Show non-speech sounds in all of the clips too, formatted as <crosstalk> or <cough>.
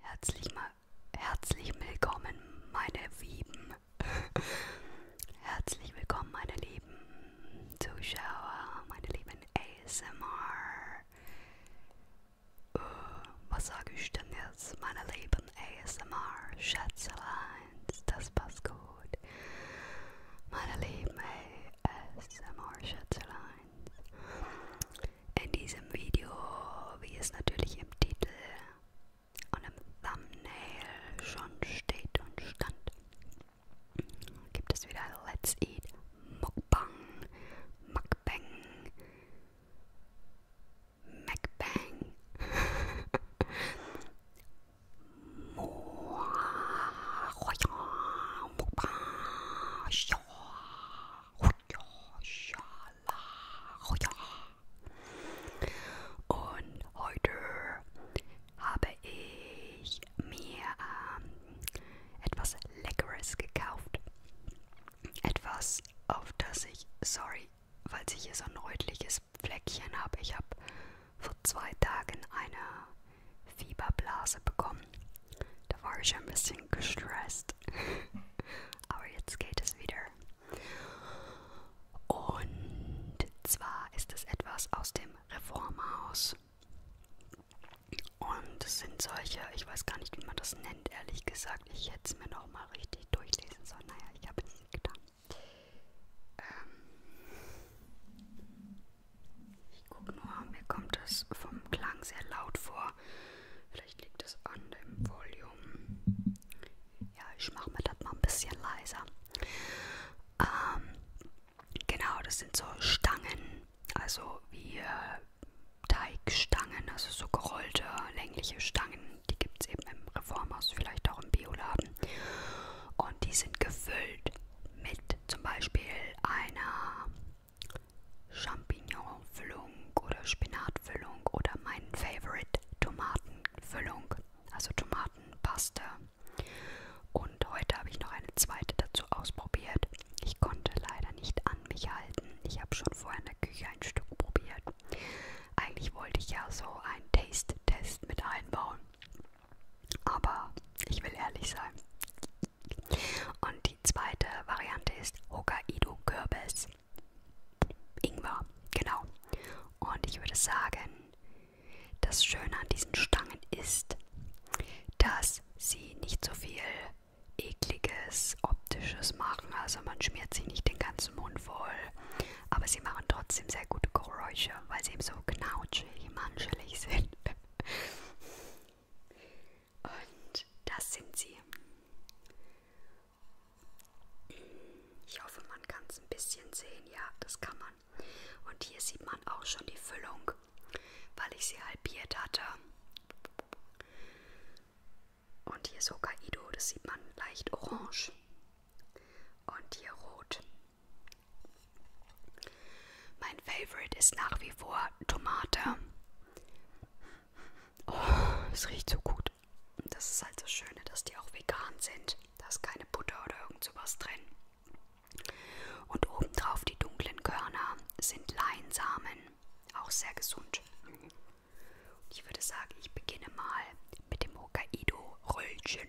Herzlich, mal, herzlich willkommen, meine Wieben. <laughs> herzlich willkommen, meine lieben Zuschauer, meine lieben ASMR. Uh, äh, was sage ich denn jetzt, meine lieben ASMR Schätzeleins? Das passt gut. Meine lieben ASMR Schätzeleins. In diesem Video, wie es natürlich im Titel und im Thumbnail schon steht und stand, gibt es wieder Let's Eat Mukbang, Mukbang, Macbang, Mukbang, <laughs> Und heute habe ich mir ähm, etwas Leckeres gekauft. Etwas, auf das ich, sorry, falls ich hier so ein rötliches Fleckchen habe, ich habe vor zwei Tagen eine Fieberblase bekommen da war ich ein bisschen gestresst. <laughs> Aber jetzt geht es wieder. Und zwar ist es etwas aus dem Reformhaus. Und es sind solche, ich weiß gar nicht, wie man das nennt, ehrlich gesagt. Ich hätte es mir nochmal richtig durchlesen sollen. Naja, ich habe es nicht getan. Ähm ich gucke nur, mir kommt das vom Klang sehr laut vor ja, vielleicht liegt es an dem Volume. Ja, ich mache mir das mal ein bisschen leiser. Ähm, genau, das sind so Stangen, also wie äh, Teigstangen, also so gerollte, längliche Stangen. Die gibt es eben im Reformhaus, vielleicht auch im Bioladen. Und die sind gefüllt mit zum Beispiel einer Champignon-Füllung oder Spinatfüllung oder mein Favorite Tomatenfüllung, also Tomatenpaste. Und heute habe ich noch eine zweite dazu ausprobiert. Ich konnte leider nicht an mich halten. Ich habe schon vorher in der Küche ein Stück probiert. Eigentlich wollte ich ja so einen Taste-Test mit einbauen. Aber ich will ehrlich sein. Und die zweite Variante ist Hokkaido Kürbis. Ingwer, genau. Und ich würde sagen, das Schöne an diesen Stangen ist, dass sie nicht so viel ekliges, optisches machen. Also man schmiert sie nicht den ganzen Mund voll. Aber sie machen trotzdem sehr gute Geräusche, weil sie eben so knautschig, manschelig sind. <laughs> Und das sind sie. Ich hoffe, man kann es ein bisschen sehen. Ja, das kann man. Und hier sieht man auch schon die Füllung, weil ich sie halbiert hatte. Und hier ist Hokkaido, das sieht man leicht orange. Und hier rot. Mein Favorite ist nach wie vor Tomate. Oh, es riecht so gut. Das ist halt das Schöne, dass die auch vegan sind. Da ist keine Butter oder irgend sowas drin. Und obendrauf die dunklen Körner sind Leinsamen. Auch sehr gesund. Und ich würde sagen, ich beginne mal mit dem Hokkaido-Röllchen.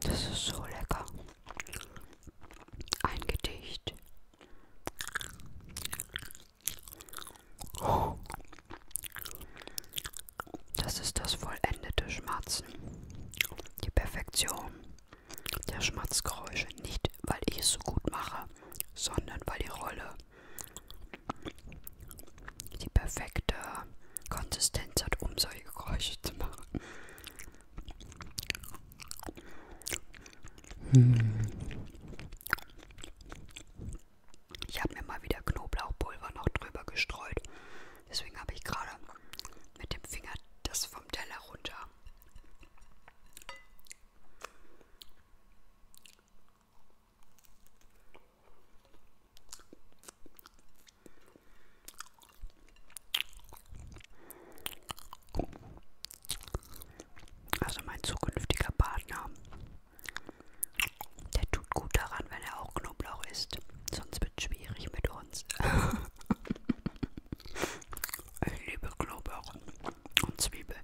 Das ist so lecker. Ein Gedicht. Oh. Das ist das vollendete Schmatzen. Die Perfektion der Schmatzgeräusche. Nicht, weil ich es so gut mache, sondern weil die Rolle die perfekte Konsistenz hat, um solche Geräusche zu machen. Hm. Ich habe mir mal wieder Knoblauchpulver noch drüber gestreut. Deswegen habe ich gerade mit dem Finger das vom Teller runter. Also mein zukünftiger Partner, der tut gut daran, wenn er auch Knoblauch isst. Sonst wird es schwierig mit uns. <laughs> ich liebe Knoblauch und Zwiebeln.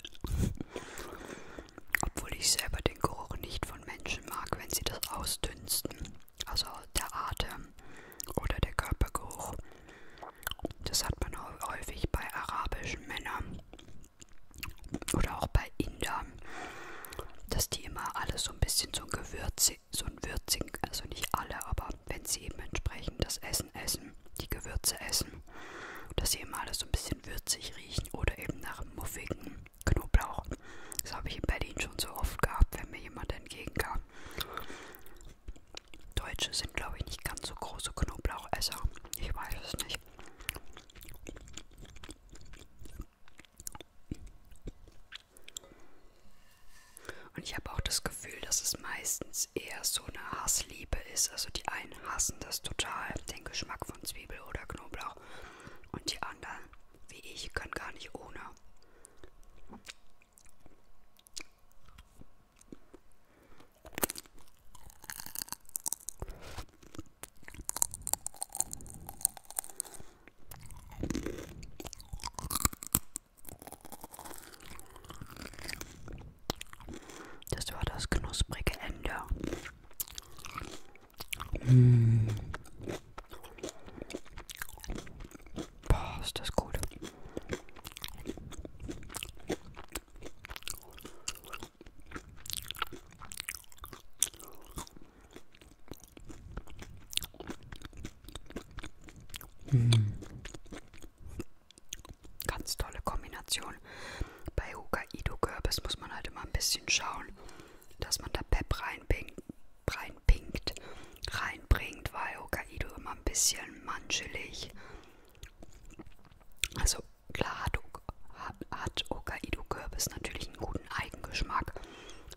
Obwohl ich selber den Geruch nicht von Menschen mag, wenn sie das ausdünsten also der Atem oder der Körpergeruch. Das hat man häufig bei arabischen Männern oder auch bei Indern, dass die immer alles so ein bisschen so ein Gewürz, so ein Würzing, also nicht alle, aber wenn sie eben entsprechend das Essen essen, die Gewürze essen, dass sie immer alles so ein bisschen würzig riechen oder eben nach muffigen Knoblauch. Das habe ich in Berlin schon so oft gehabt, wenn mir jemand entgegenkam. Deutsche sind, glaube ich, nicht ganz so große Knoblauchesser. Ich weiß es nicht. Und ich habe auch das Gefühl, dass es meistens eher so eine Hassliebe ist. Also die einen hassen das total, den Geschmack von Zwiebel oder Knoblauch. Und die anderen, wie ich, können gar nicht ohne. Das war das knusprige Ende. Mm. Boah, ist das gut. Mm. Ganz tolle Kombination. Bei Hokkaido Kürbis muss man halt immer ein bisschen schauen, dass man da Pep reinbringt, reinpinkt, reinbringt, weil Hokkaido immer ein bisschen manchelig. Also klar hat, hat Hokkaido Kürbis natürlich einen guten Eigengeschmack,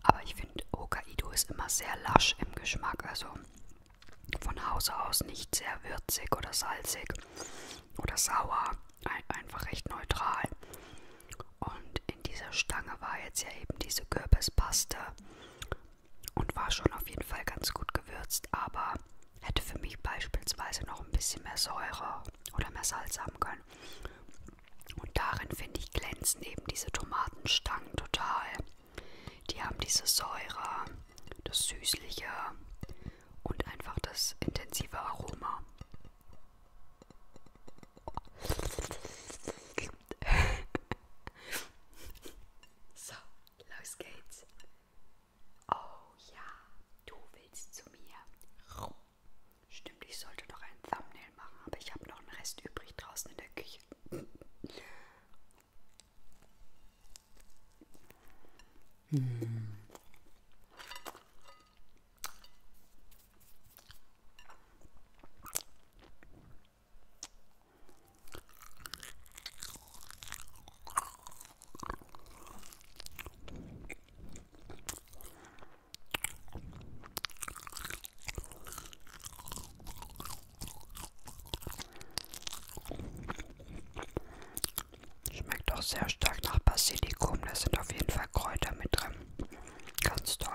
aber ich finde Hokkaido ist immer sehr lasch im Geschmack, also von Hause aus nicht sehr würzig oder salzig oder sauer, ein, einfach recht neutral. Und in dieser Stange war jetzt ja eben diese Kürbispaste und war schon auf jeden Fall ganz gut gewürzt, aber hätte für mich beispielsweise noch ein bisschen mehr Säure oder mehr Salz haben können. Und darin finde ich glänzen eben diese Tomatenstangen total. Die haben diese Säure, das Süßliche und einfach das intensive Aroma. So, los geht's. Oh ja, du willst zu mir. Stimmt, ich sollte noch ein Thumbnail machen, aber ich habe noch einen Rest übrig draußen in der Küche. Hm. Schmeckt auch sehr stark nach Basilikum. Da sind auf jeden Fall Kräuter mit drin. Ganz toll.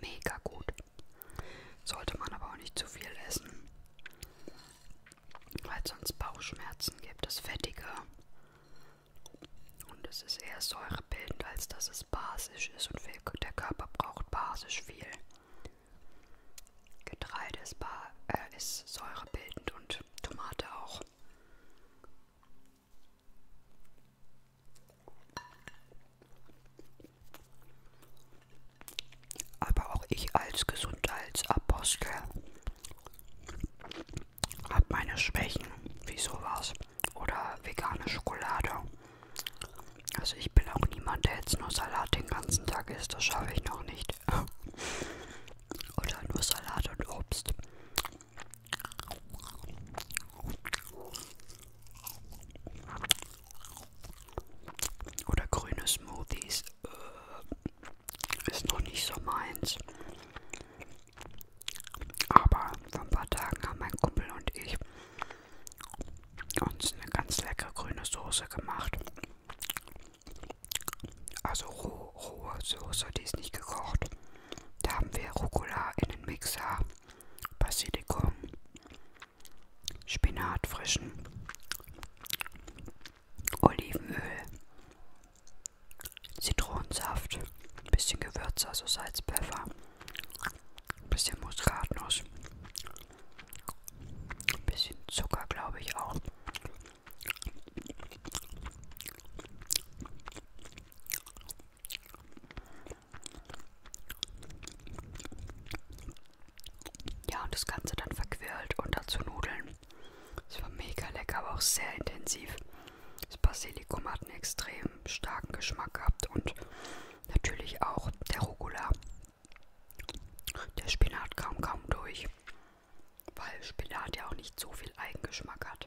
Mega gut. Sollte man aber auch nicht zu viel essen, weil es sonst Bauchschmerzen gibt. Es fettiger und es ist eher säurebildend, als dass es basisch ist und viel, der Körper braucht basisch viel. Getreide ist, ba äh, ist säurebildend und Tomate auch. Aber auch ich als Gesundheitsapostel habe meine Schwächen, wie sowas. Oder vegane Schokolade. Also ich bin auch niemand, der jetzt nur Salat den ganzen Tag isst. Das schaffe ich noch nicht nicht. <laughs> Oder nur Salat und Obst. Oder grüne Smoothies. Äh, ist noch nicht so meins. Aber vor ein paar Tagen haben mein Kumpel und ich uns eine ganz leckere grüne Soße gemacht. Also roh, rohe Soße, die ist nicht gekocht. Da haben wir Rucola in den Mixer, Basilikum, Spinat frischen, Olivenöl, Zitronensaft, bisschen Gewürze, also Salz, Pfeffer, bisschen Muskatnuss, bisschen Zucker, glaube ich auch. Ja, und das Ganze dann verquirlt und dazu Nudeln. Es war mega lecker, aber auch sehr intensiv. Das Basilikum hat einen extrem starken Geschmack gehabt und natürlich auch der Rucola. Der Spinat kam kaum durch weil Spinat ja auch nicht so viel Eigengeschmack hat.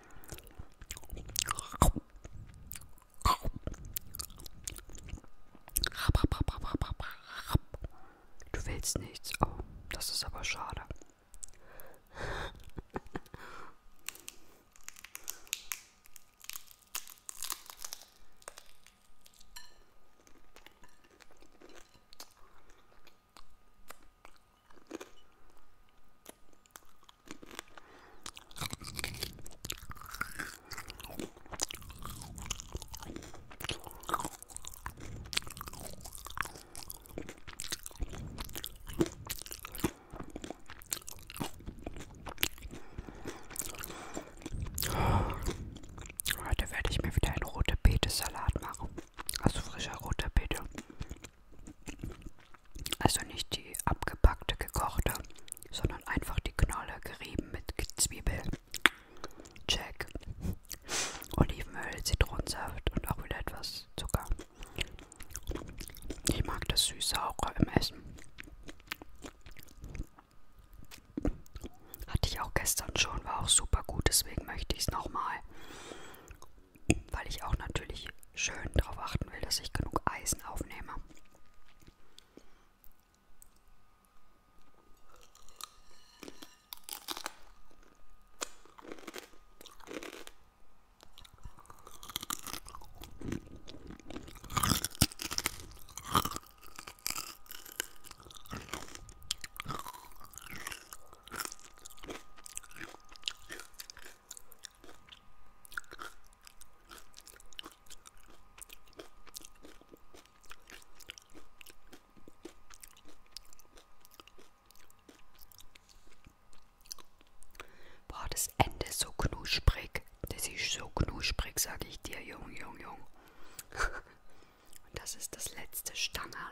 Du willst nichts. Oh, das ist aber schade. Heute werde ich mir wieder einen rote Beete Salat machen. Also frischer roter Beete. Also nicht die abgepackte, gekochte, sondern einfach die Knolle gerieben mit Zwiebel. Check. Olivenöl, Zitronensaft und auch wieder etwas Zucker. Ich mag das süß-saure im Essen. Hatte ich auch gestern schon, war auch super gut, deswegen möchte ich es nochmal weil ich auch natürlich schön darauf achten will, dass ich genug Eisen aufnehme. Boah, das Ende ist so knusprig. Das ist so knusprig, sage ich dir, Jung, Jung, Jung. Und <laughs> das ist das letzte Stangerl.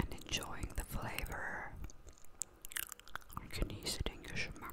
and enjoying the flavor. Genieß den Geschmack.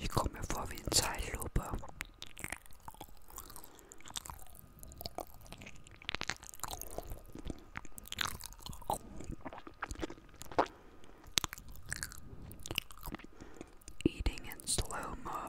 I come before at vi en Eating in slow mo.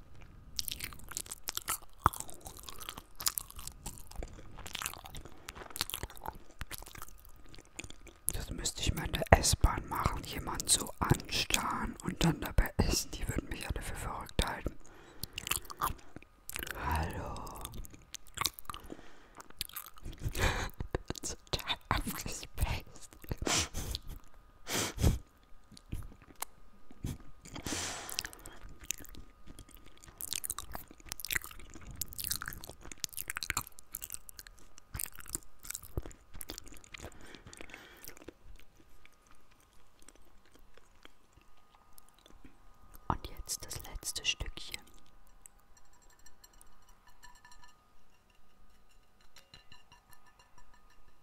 Das müsste ich mal in der S-Bahn machen, jemand so anstarren und dann dabei essen. Die würden mich alle für verrückt halten. Hallo. <laughs> Total abgespaced. Und jetzt das letzte Stückchen.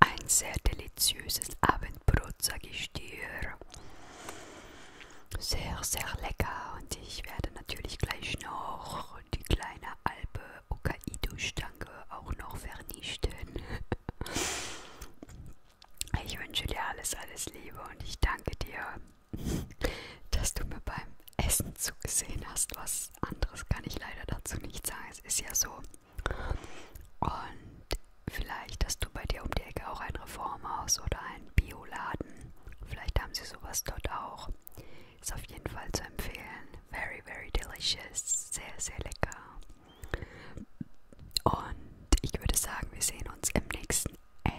Ein sehr deliziöses Abendbrot, sage ich dir. Sehr, sehr lecker. Und ich werde natürlich gleich noch die kleine Alpe Hokkaido-Stange auch noch vernichten. <laughs> Ich wünsche dir alles, alles Liebe und ich danke dir, dass du mir beim Essen zugesehen hast. Was anderes kann ich leider dazu nicht sagen. Es ist ja so. Und vielleicht hast du bei dir um die Ecke auch ein Reformhaus oder einen Bioladen. Vielleicht haben sie sowas dort auch. Ist auf jeden Fall zu empfehlen. Very, very delicious. Sehr, sehr lecker. Und ich würde sagen, wir sehen uns im nächsten A.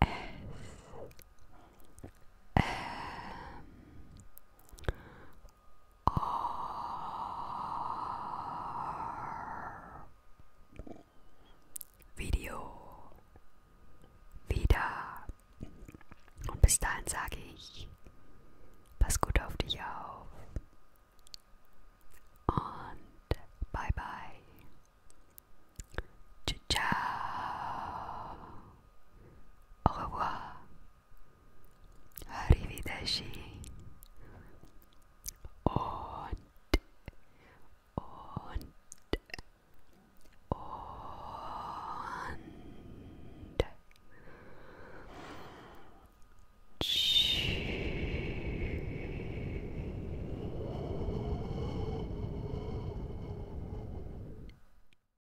S. M. Video wieder. Und bis dahin sage ich, pass gut auf dich auf. Und bye bye. Ciao. Au revoir. Arrivederci und und und tschüss.